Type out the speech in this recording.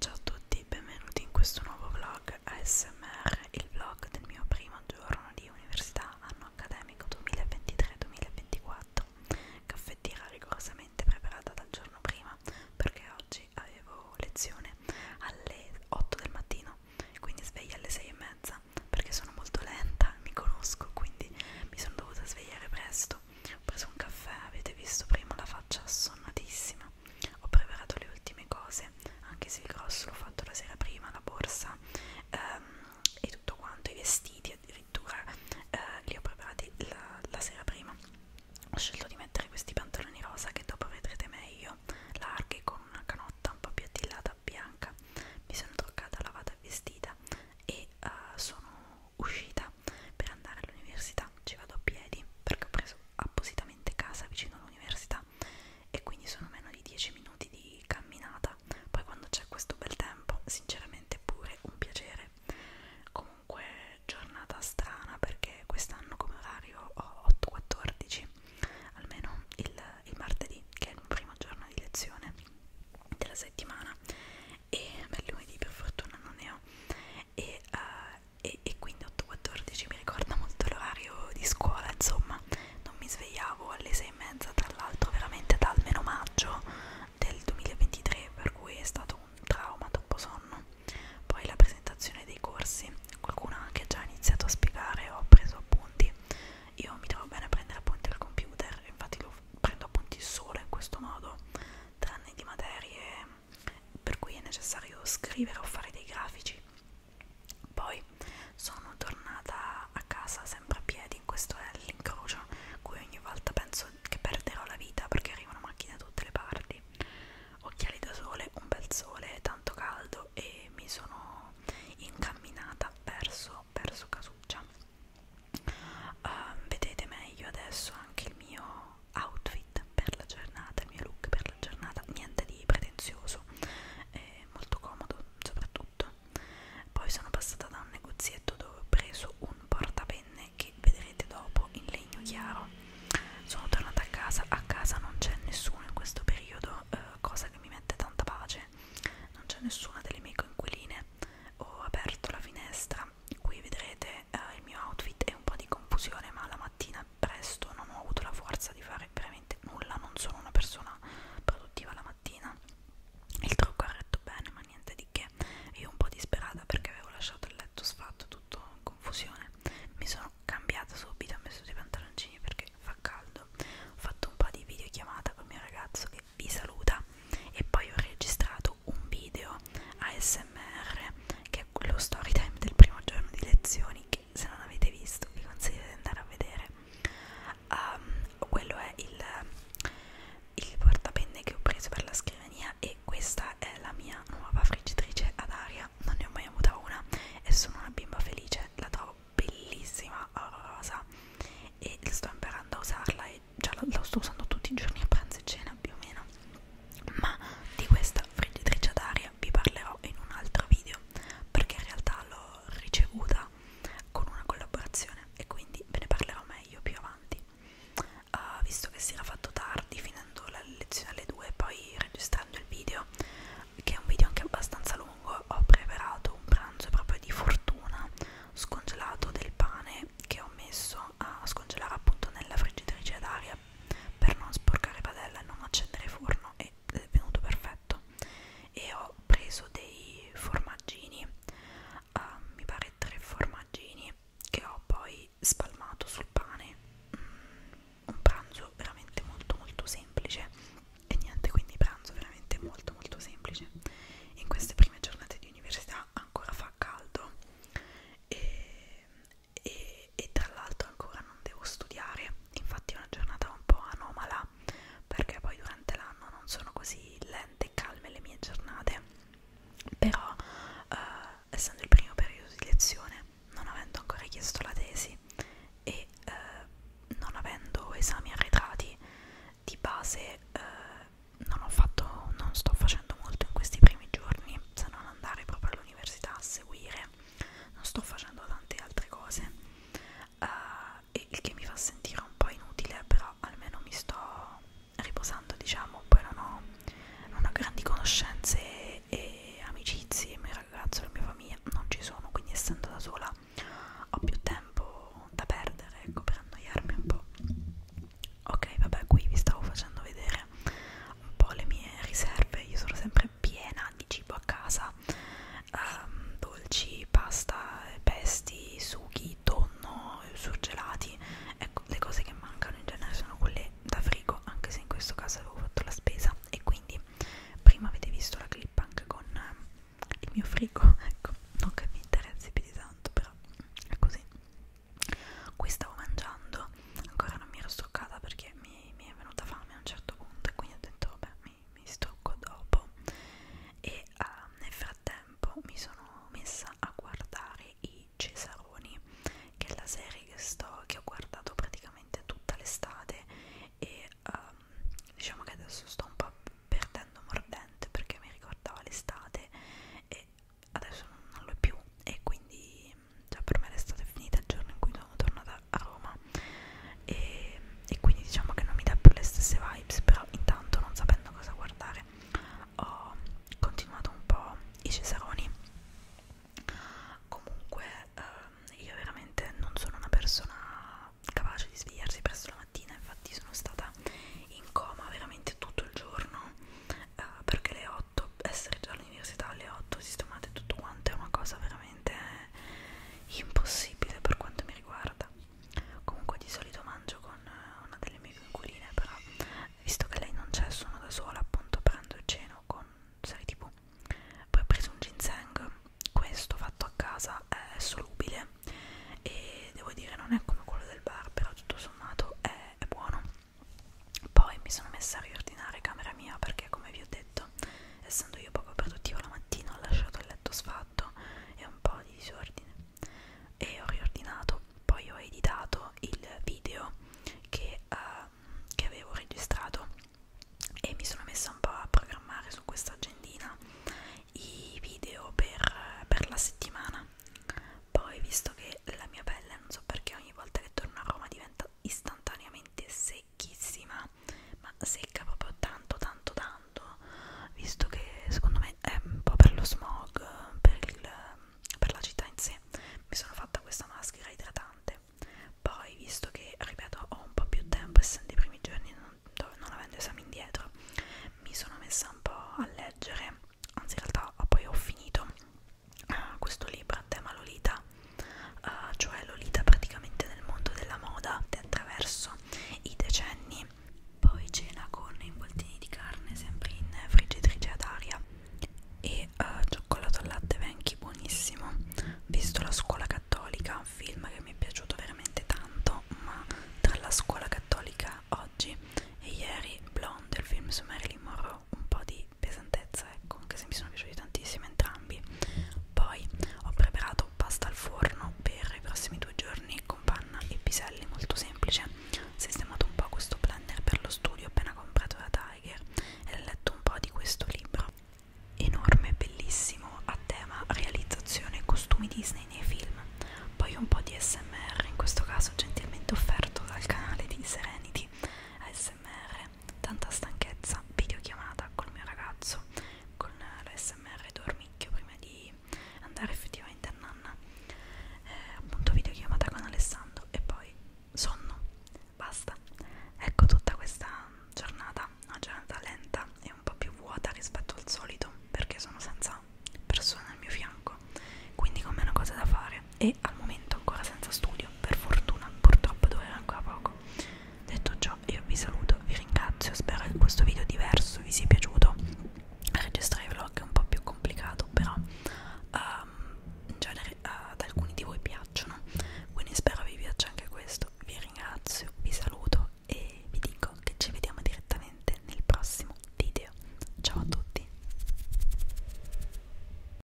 Ciao a tutti, benvenuti in questo nuovo vlog ASMR, il vlog del mio primo giorno di università anno accademico 2023-2024. Caffettiera rigorosamente preparata dal giorno prima perché oggi avevo lezione alle 8 del mattino, quindi sveglia alle 6 e mezza perché sono molto lenta, mi conosco, quindi mi sono dovuta svegliare presto letto. Ho preso un caffè, avete visto prima la faccia assonnatissima. Ho preparato le ultime cose, anche se il grosso l'ho fatto la sera prima, la borsa ehm, e tutto quanto, i vestiti addirittura eh, li ho preparati la, la sera prima. Ho scelto di mettere questi pantaloni rosa che dopo vedrete meglio, larghi con una canotta un po' più attillata bianca. Mi sono truccata, lavata e vestita e uh, sono uscita per andare all'università ci vado a piedi perché ho preso appositamente casa vicino all'università e quindi sono meno di 10 minuti di camminata poi quando c'è questo bel tempo sinceramente pure un piacere comunque giornata strana perché quest'anno come orario ho 8-14 almeno il, il martedì che è il primo giorno di lezione della settimana e beh, lunedì per fortuna non ne ho e, uh, e, e quindi 8.14 mi ricorda molto l'orario di scuola insomma non mi svegliavo alle 6 e mezza tra l'altro veramente da almeno maggio del 2023 per cui è stato un trauma troppo sonno poi la presentazione dei corsi qualcuno ha anche già iniziato a spiegare ho preso appunti io mi trovo bene a prendere appunti al computer infatti lo prendo appunti solo in questo modo tranne di materie per cui è necessario scrivere o fare dei grafici. Poi sono tornata a casa sempre a piedi, questo è l'incrocio cui ogni volta penso che perderò la vita perché arrivano macchine da tutte le parti. Occhiali da sole, un bel sole, tanto caldo e mi sono incamminata verso, verso Casuccia. Uh, vedete meglio adesso anche il mio outfit per la giornata, il mio look per la giornata, niente di pretenzioso, eh, molto comodo soprattutto. Poi sono passata da un negozietto dove ho preso un portapenne che vedrete dopo in legno chiaro. Sono tornata a casa, a casa non c'è nessuno in questo periodo, eh, cosa che mi mette tanta pace, non c'è nessuna delle mie coinquiline. Ho aperto la finestra, qui vedrete eh, il mio outfit e un po' di confusione ma la mattina presto non ho avuto la forza di fare veramente nulla non sono una persona produttiva la mattina il trucco ha retto bene ma niente di che io un po' disperata perché avevo lasciato il letto sfatto tutto in confusione mi sono cambiata subito ho messo dei pantaloncini perché fa caldo ho fatto un po' di videochiamata col mio ragazzo che vi saluta e poi ho registrato un video ASMR che è quello story time del primo giorno di lezioni che se non avete visto vi consiglio di andare a vedere um, quello è il, il portapenne che ho preso per la scrivania e questa è la mia nuova friggitrice ad aria non ne ho mai avuta una e sono una bimba felice la trovo bellissima rosa e sto imparando a usarla e già la, la sto usando tutti i giorni a pranzo e cena più o meno ma di questa friggitrice d'aria vi parlerò in un altro video perché in realtà l'ho ricevuta con una collaborazione e quindi ve ne parlerò meglio più avanti uh, visto che si era fatto tardi finendo la lezione alle 2 e poi registrando il video che è un video anche abbastanza lungo ho preparato un pranzo proprio di fortuna scongelato del pane che ho messo a scongelare appunto nella friggitrice d'aria per non sporcare padella e non accendere forno e è venuto perfetto e ho preso dei formaggini uh, mi pare tre formaggini che ho poi spalmato sul pane mm, un pranzo veramente molto molto semplice e niente quindi pranzo veramente molto molto semplice in queste prime giornate di università ancora fa caldo e e, e tra l'altro ancora non devo studiare, infatti è una giornata un po' anomala perché poi durante l'anno non sono così lente e calme le mie giornate, però eh, essendo il primo periodo di lezione, non avendo ancora chiesto la tesi e eh, non avendo esami arretrati, di base eh, non ho fatto, non sto facendo molto in questi primi giorni se non andare proprio l'università a seguire, non sto facendo tante altre cose, uh, e il che mi fa sentire un po' inutile, però almeno mi sto riposando, diciamo, poi non ho, non ho grandi conoscenze e, e amicizie, il mio ragazzo, la mia famiglia non ci sono, quindi essendo da sola ho più tempo da perdere, ecco, per annoiarmi un po' ok vabbè qui vi stavo facendo vedere un po' le mie riserve io sono sempre piena di cibo a casa um, dolci, pasta, pesti, sughi, tonno, surgelati ecco le cose che mancano in genere sono quelle da frigo anche se in questo caso avevo fatto la spesa e quindi prima avete visto la clip anche con eh, il mio frigo ecco non che mi interessi più di tanto però è così qui stavo mangiando ancora non mi ero stoccata perché mi, mi è venuta fame a un certo punto e quindi ho detto vabbè mi, mi stocco dopo e uh, nel frattempo mi sono messa a guardare i Cesaroni che è la serie che, sto, che ho guardato praticamente tutta l'estate e um, diciamo che adesso sto un po' perdendo mordente perché mi ricordava l'estate e adesso non lo è più e quindi mm, già per me l'estate è finita il giorno in cui sono tornata a Roma e, e quindi diciamo che non mi dà più le stesse vibes però intanto non sapendo cosa guardare ho continuato un po' i Cesaroni comunque ehm, io veramente non sono una persona capace di svegliarsi presto la mattina infatti sono stata in coma veramente tutto il giorno uh, perché le 8 essere già all'università alle 8 sistemate tutto quanto è una cosa veramente impossibile per quanto mi riguarda comunque di solito mangio con eh, una delle mie vinculine però visto che lei non c'è sono da sola appunto prendo il ceno con serie tv poi ho preso un ginseng questo fatto a casa è solubile e devo dire non è come quello del bar però tutto sommato è, è buono poi mi sono messa a riordinare camera mia perché, come vi ho detto, essendo io poco produttiva la mattina, ho lasciato il letto sfatto e un po' di disordine. E ho riordinato. Poi ho editato il video che, uh, che avevo registrato e mi sono messa un po' a programmare su questa agendina i video per, per la settimana. Poi, visto che la mia pelle, non so perché, ogni volta che torno a Roma diventa istantaneamente secchissima ma secca proprio tanto tanto tanto visto che secondo me è un po' per lo smog per, il, per la città in sé mi sono fatta questa maschera idratante poi visto che ripeto ho un po' più tempo essendo i primi giorni non, non avendo esami indietro mi sono messa un po' a leggere anzi in realtà poi ho finito uh, questo libro a tema Lolita, uh, cioè Lolita praticamente nel mondo della moda attraverso i decenni. Poi cena con involtini di carne sempre in friggitrice ad aria e uh, cioccolato al latte Venchi buonissimo. Visto la scuola cattolica, un film che mi è piaciuto veramente tanto, ma tra la scuola cattolica oggi e ieri Blonde, il film su Marilyn Monroe, un po' di pesantezza ecco anche se mi sono piaciuti tantissimo entrambi poi ho preparato pasta al forno per i prossimi due giorni con panna e piselli molto semplice ho sistemato un po' questo blender per lo studio appena comprato da Tiger e ho letto un po' di questo libro enorme bellissimo a tema realizzazione costumi Disney nei film poi un po' di smr in questo caso gentilmente offerto dal canale di Serenity ASMR tanta stanchezza, videochiamata col mio ragazzo, con l'ASMR dormicchio prima di andare effettivamente a nanna, eh, appunto videochiamata con Alessandro e poi sonno, basta. Ecco tutta questa giornata, una giornata lenta e un po' più vuota rispetto al solito perché sono senza persone al mio fianco, quindi con meno cose da fare e al momento ancora senza studio, per fortuna, purtroppo durerà ancora poco. Detto ciò, io vi saluto, vi ringrazio, spero che questo video diverso vi sia piaciuto. Registrare i vlog è un po' più complicato, però um, in genere uh, ad alcuni di voi piacciono, quindi spero vi piaccia anche questo. Vi ringrazio, vi saluto e vi dico che ci vediamo direttamente nel prossimo video. Ciao a tutti!